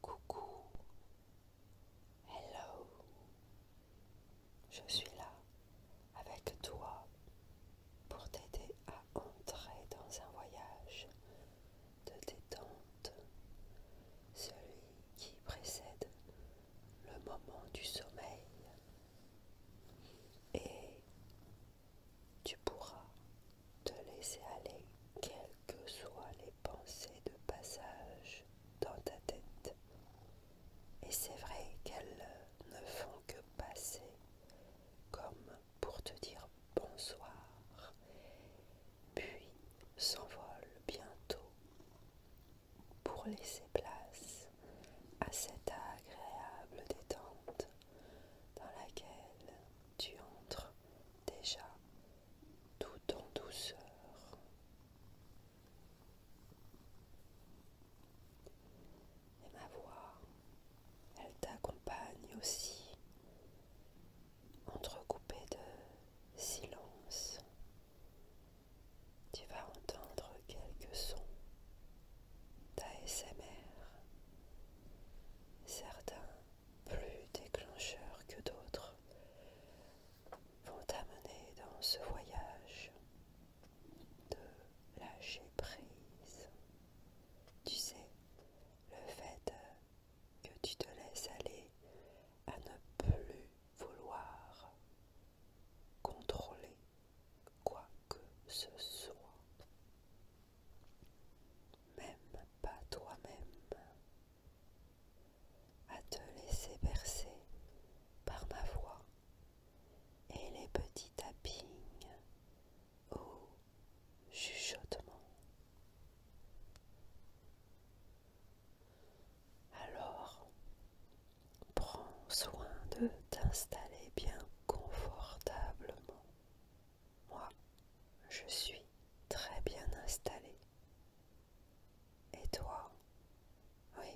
Coucou, hello, je suis là avec toi pour t'aider à entrer dans un voyage de détente, celui qui précède le moment du sommeil. Et tu pourras te laisser aller quelles que soient les pensées de passage dans ta tête. Et c'est vrai qu'elles ne font que passer comme pour te dire bonsoir, puis s'envolent bientôt pour laisser place à cette agréable détente dans laquelle tu entres déjà tout en douceur. Et ma voix, elle t'accompagne aussi, entrecoupée de silence. Tu vas entendre quelques sons d'ASMR certains plus déclencheurs que d'autres, vont t'amener dans ce voyage de lâcher prise. Tu sais, le fait que tu te laisses aller à ne plus vouloir contrôler quoi que ce soit. Même pas toi-même, à te laisser bercer par ma voix et les petits tapings ou chuchotements Alors, prends soin de t'installer bien confortablement moi, je suis très bien installée, Et toi Oui.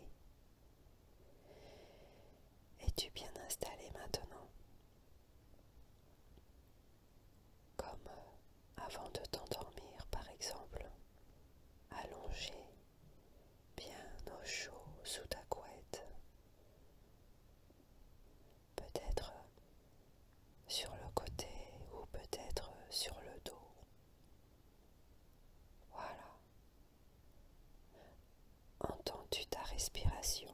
Es-tu bien installé maintenant Comme euh, avant de t'endormir, par exemple, allongé, bien au chaud sous ta couette peut-être euh, sur le côté ou peut-être euh, sur le dos. Voilà. Entends-tu ta respiration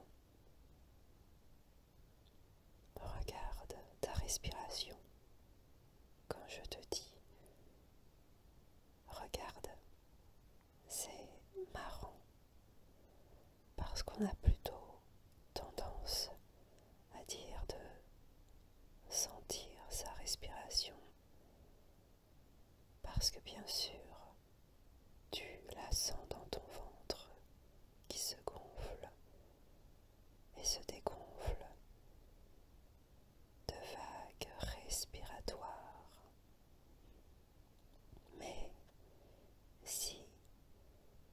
Regarde ta respiration quand je te dis regarde c'est marrant parce qu'on a plutôt tendance à dire de sentir sa respiration parce que bien sûr tu la sens dans ton ventre qui se gonfle et se dégonfle de vagues respiratoires mais si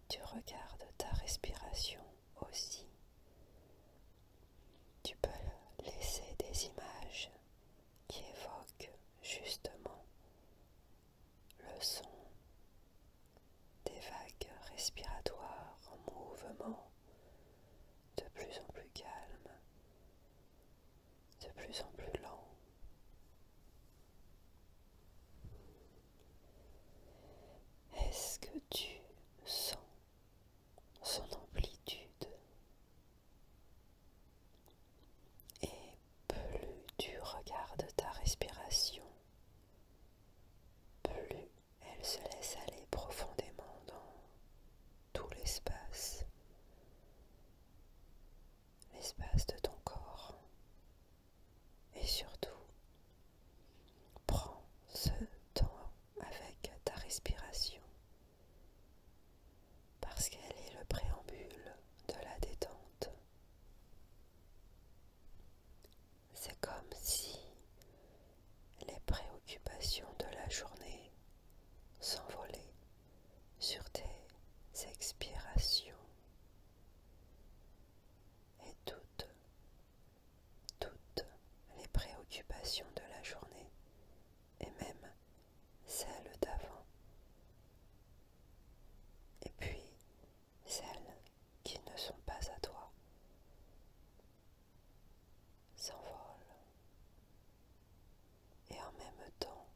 tu regardes ta respiration aussi, tu peux laisser des images qui évoquent justement le son des vagues respiratoires en mouvement de plus en plus calme de plus en plus lent. Est-ce que tu sens son amplitude Et plus tu regardes ta respiration, plus elle se laisse aller profondément dans tout l'espace l'espace de ton corps. Et surtout, prends ce temps avec ta respiration parce qu'elle est le préambule de la détente. C'est comme si les préoccupations de la journée s'envolaient sur tes expirations et toutes, toutes les préoccupations de la journée et même celles d'avant et puis celles qui ne sont pas à toi s'envolent et en même temps,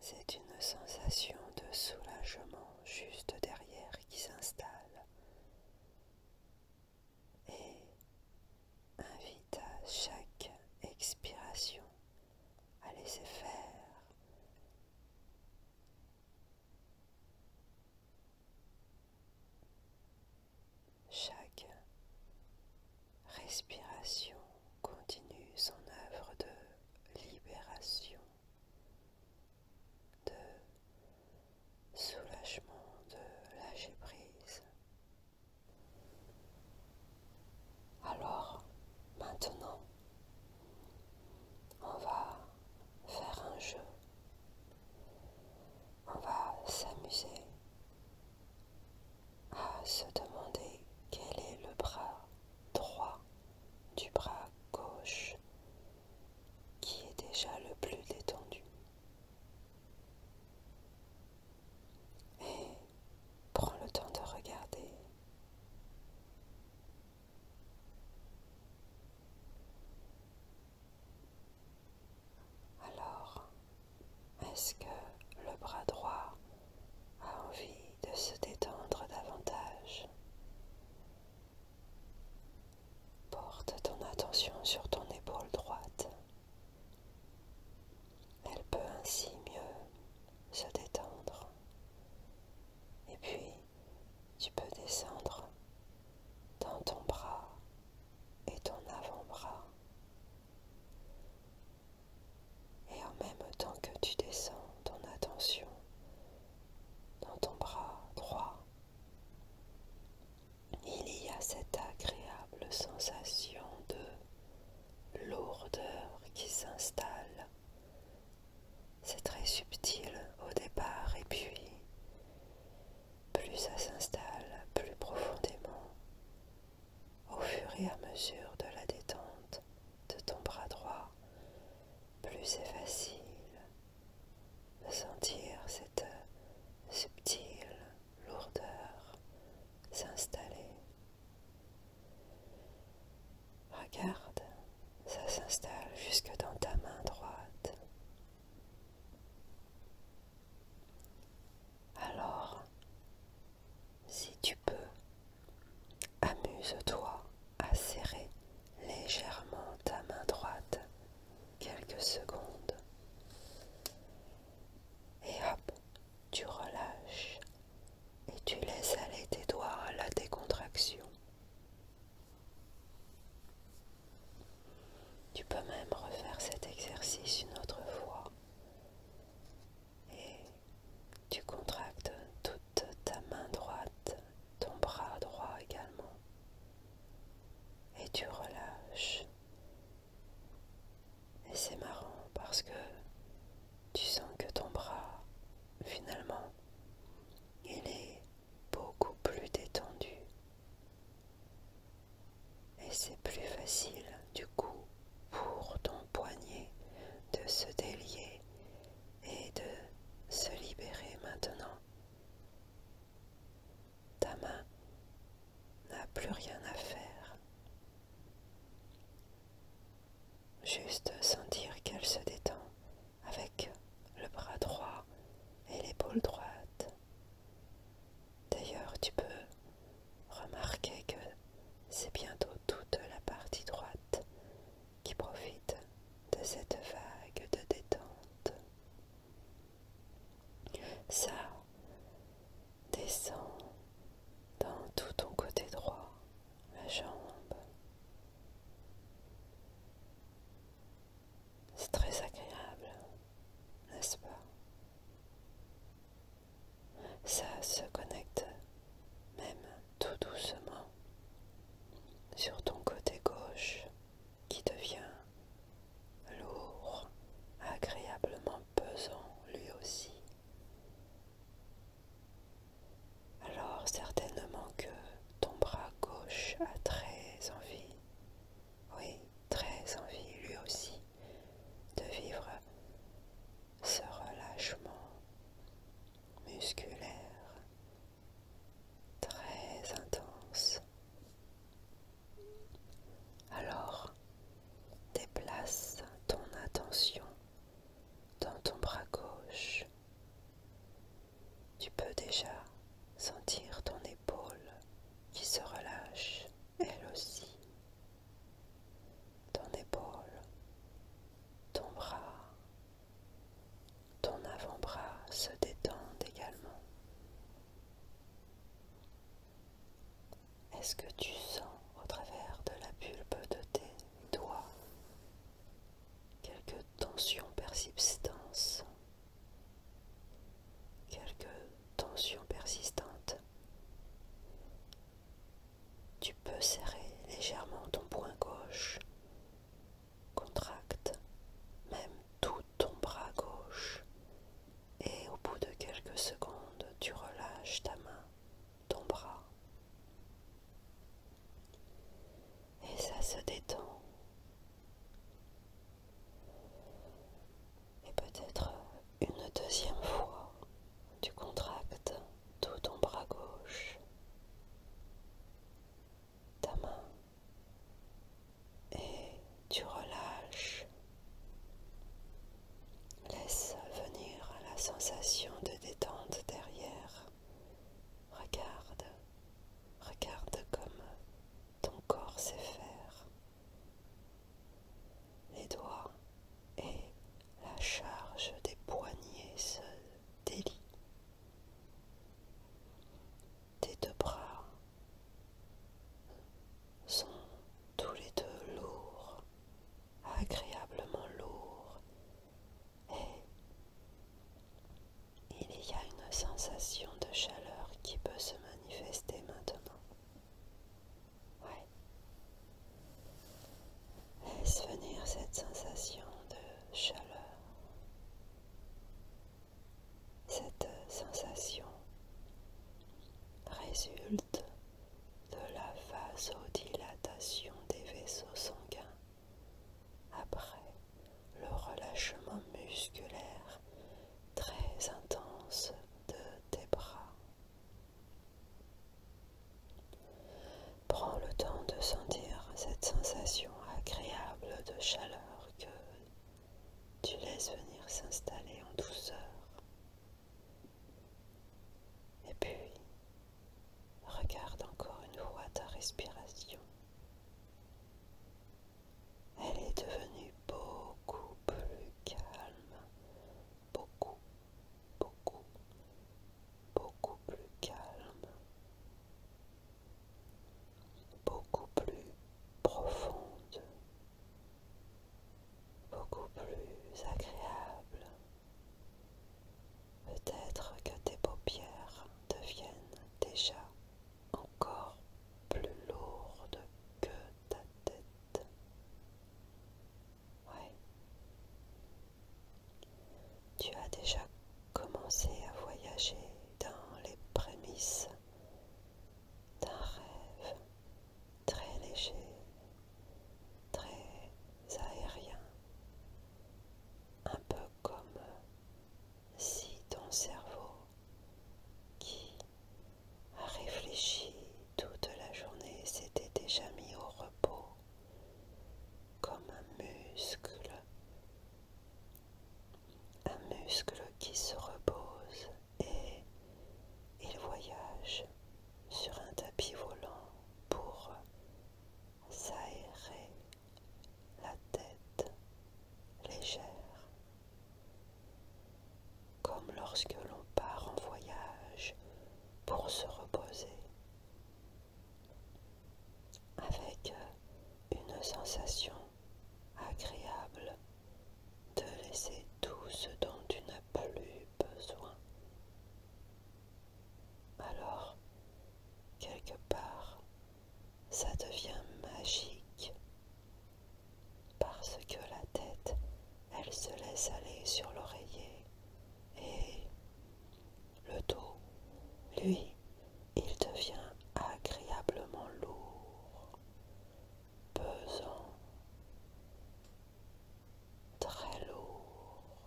c'est une sensation de soulagement juste derrière qui s'installe et invite à chaque expiration à laisser faire chaque respiration continue son œuvre de libération, de soulagement, de lâcher prise. Alors, maintenant, on va faire un jeu. On va s'amuser à ah, se demander quel est le bras droit du bras gauche qui est déjà le plus détendu. Et prends le temps de regarder. Alors, est-ce que le bras droit a envie de se détendre davantage Porte ton attention sur ton épaule droite. Elle peut ainsi mieux se détendre. Et puis, tu peux descendre dans ton bras et ton avant-bras. Et en même temps que tu descends ton attention dans ton bras droit, il y a cette agréable sensation de lourdeur qui s'installe. C'est très subtil au départ et puis plus ça s'installe plus profondément au fur et à mesure de la détente de ton bras droit, plus c'est facile de sentir cette subtile lourdeur s'installer. Regarde, ça s'installe jusque dans ta main droite. Alors, si tu peux, amuse-toi à serrer légèrement ta main droite quelques secondes. Et hop, tu relâches et tu laisses aller tes doigts à la décontraction. Tu peux même refaire cet exercice une autre fois et tu contractes toute ta main droite, ton bras droit également et tu relâches. Et c'est marrant parce que tu sens que ton bras, finalement, il est beaucoup plus détendu. Et c'est plus facile du coup pour ton poignet de se délier et de se libérer maintenant. Ta main n'a plus rien à faire. Juste sentir qu'elle se détend avec le bras droit et l'épaule droite. D'ailleurs, tu peux remarquer que c'est bientôt toute la partie droite qui profite de cette vague de détente. Ça descend dans tout ton côté droit, la jambe. C'est très agréable, n'est-ce pas Ça se connecte même tout doucement sur ton côté gauche qui devient lourd, agréablement pesant lui aussi. Alors certainement que ton bras gauche a très envie oui, très envie lui aussi de vivre ce relâchement musculaire très intense. Alors, déplace ton attention dans ton bras gauche tu peux déjà sentir ton épaule qui se relâche, elle aussi. Ton épaule, ton bras, ton avant-bras se détendent également. Est-ce que tu sens au travers de la pulpe de tes doigts quelques tensions persistantes, quelques tensions persistantes. Tu peux serrer légèrement ton poing gauche, contracte même tout ton bras gauche et au bout de quelques secondes, tu relâches ta main, ton bras et ça se détend. Et peut-être une deuxième fois, tu contractes tout ton bras gauche, ta main, et tu relâches. Laisse venir la sensation de détente derrière. Regarde Regarde comme ton corps sait faire. Les doigts et la charge des poignets se délient. Tes deux bras sont tous les deux lourds, agréablement lourds il y a une sensation de chaleur qui peut se manifester maintenant. Ouais. Laisse venir cette sensation de chaleur. Cette sensation résulte de la vasodilatation des vaisseaux sanguins après le relâchement musculaire très intense de tes bras. Prends le temps de sentir cette sensation agréable de chaleur que tu laisses venir s'installer en douceur. Et puis, Regarde encore une fois ta respiration. Elle est devenue beaucoup plus calme, beaucoup, beaucoup, beaucoup plus calme, beaucoup plus profonde, beaucoup plus agréable. Peut-être que tes paupières deviennent déjà encore plus lourdes que ta tête. Ouais. Tu as déjà commencé à voyager dans les prémices d'un rêve très léger, très aérien, un peu comme euh, si ton cerveau qui a réfléchi toute la journée s'était déjà mis au repos comme un muscle, un muscle qui se repose et il voyage sur un tapis volant pour s'aérer la tête légère, comme lorsque l'on part en voyage pour se reposer, avec une sensation agréable de laisser tout ce dont tu n'as plus besoin alors, quelque part, ça devient magique parce que la tête, elle se laisse aller sur l'oreiller et le dos, lui, il devient agréablement lourd, pesant, très lourd.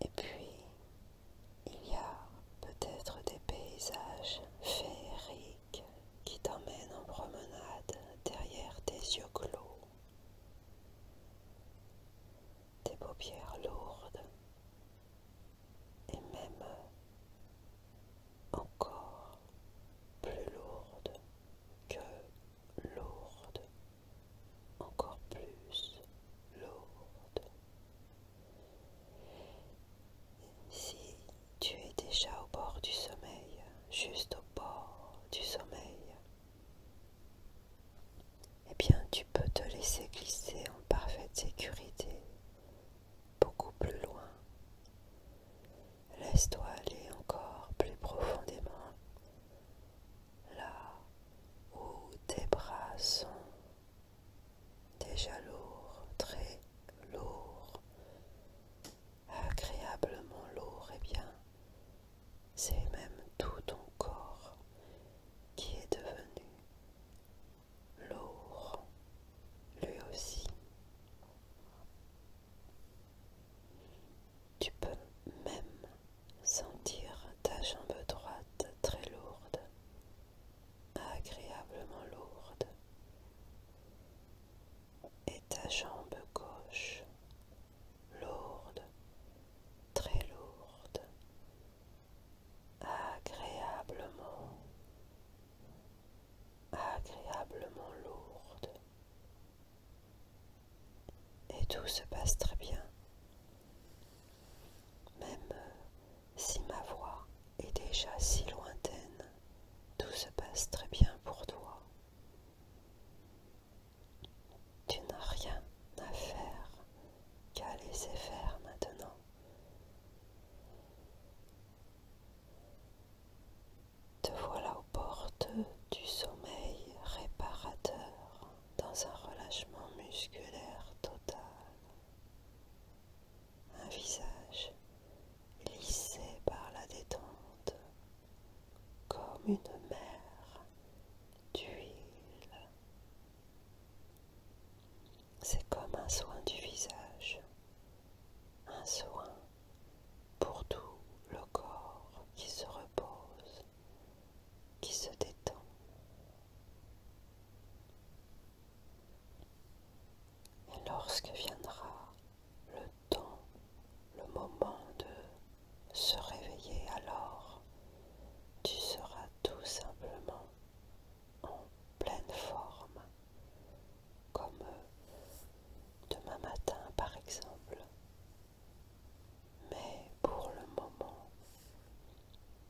Et puis, il y a peut-être des paysages féeriques qui t'emmènent en promenade derrière tes yeux clos, tes paupières lourdes et même encore plus lourde que lourde, encore plus lourde. Si tu es déjà au bord du sommeil, juste au bord du sommeil, eh bien tu peux te laisser glisser en parfaite sécurité beaucoup plus loin. Laisse-toi aller encore plus profondément, là où tes bras sont déjà lourds, très lourds, agréablement lourds, et eh bien c'est même tout ton corps qui est devenu lourd, lui aussi. Tu peux même sentir ta jambe droite très lourde, agréablement lourde, et ta jambe gauche lourde, très lourde, agréablement, agréablement lourde. Et tout se passe très bien, même euh, si ma voix est déjà si lointaine, tout se passe très bien pour toi. Tu n'as rien à faire qu'à laisser faire maintenant. Te voilà aux portes du sommeil réparateur dans un relâchement musculaire total. Un visage lissé par la détente comme une mer d'huile c'est comme un soin du visage, un soin pour tout le corps qui se repose, qui se détend. Et lorsque viendra le temps, le moment de se réveiller, alors tu seras tout simplement en pleine forme, comme euh, demain matin par exemple. Mais pour le moment,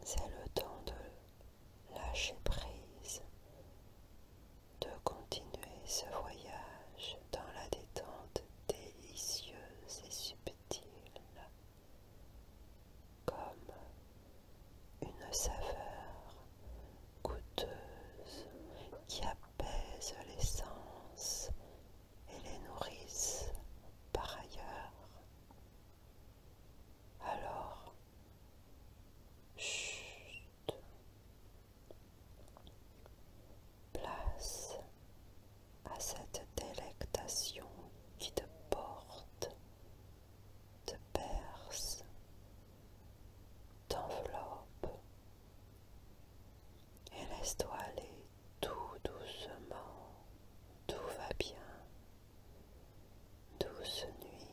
c'est le temps de lâcher prise, de continuer ce voyage dans la détente délicieuse et subtile comme une saveur coûteuse qui apaise les sens et les nourrissent par ailleurs. Alors, chut, place à cette délectation qui te porte, te perce, t'enveloppe et laisse-toi aller tout doucement, tout va bien, douce nuit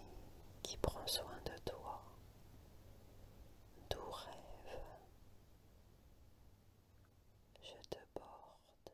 qui prend soin de toi, doux rêve, je te porte.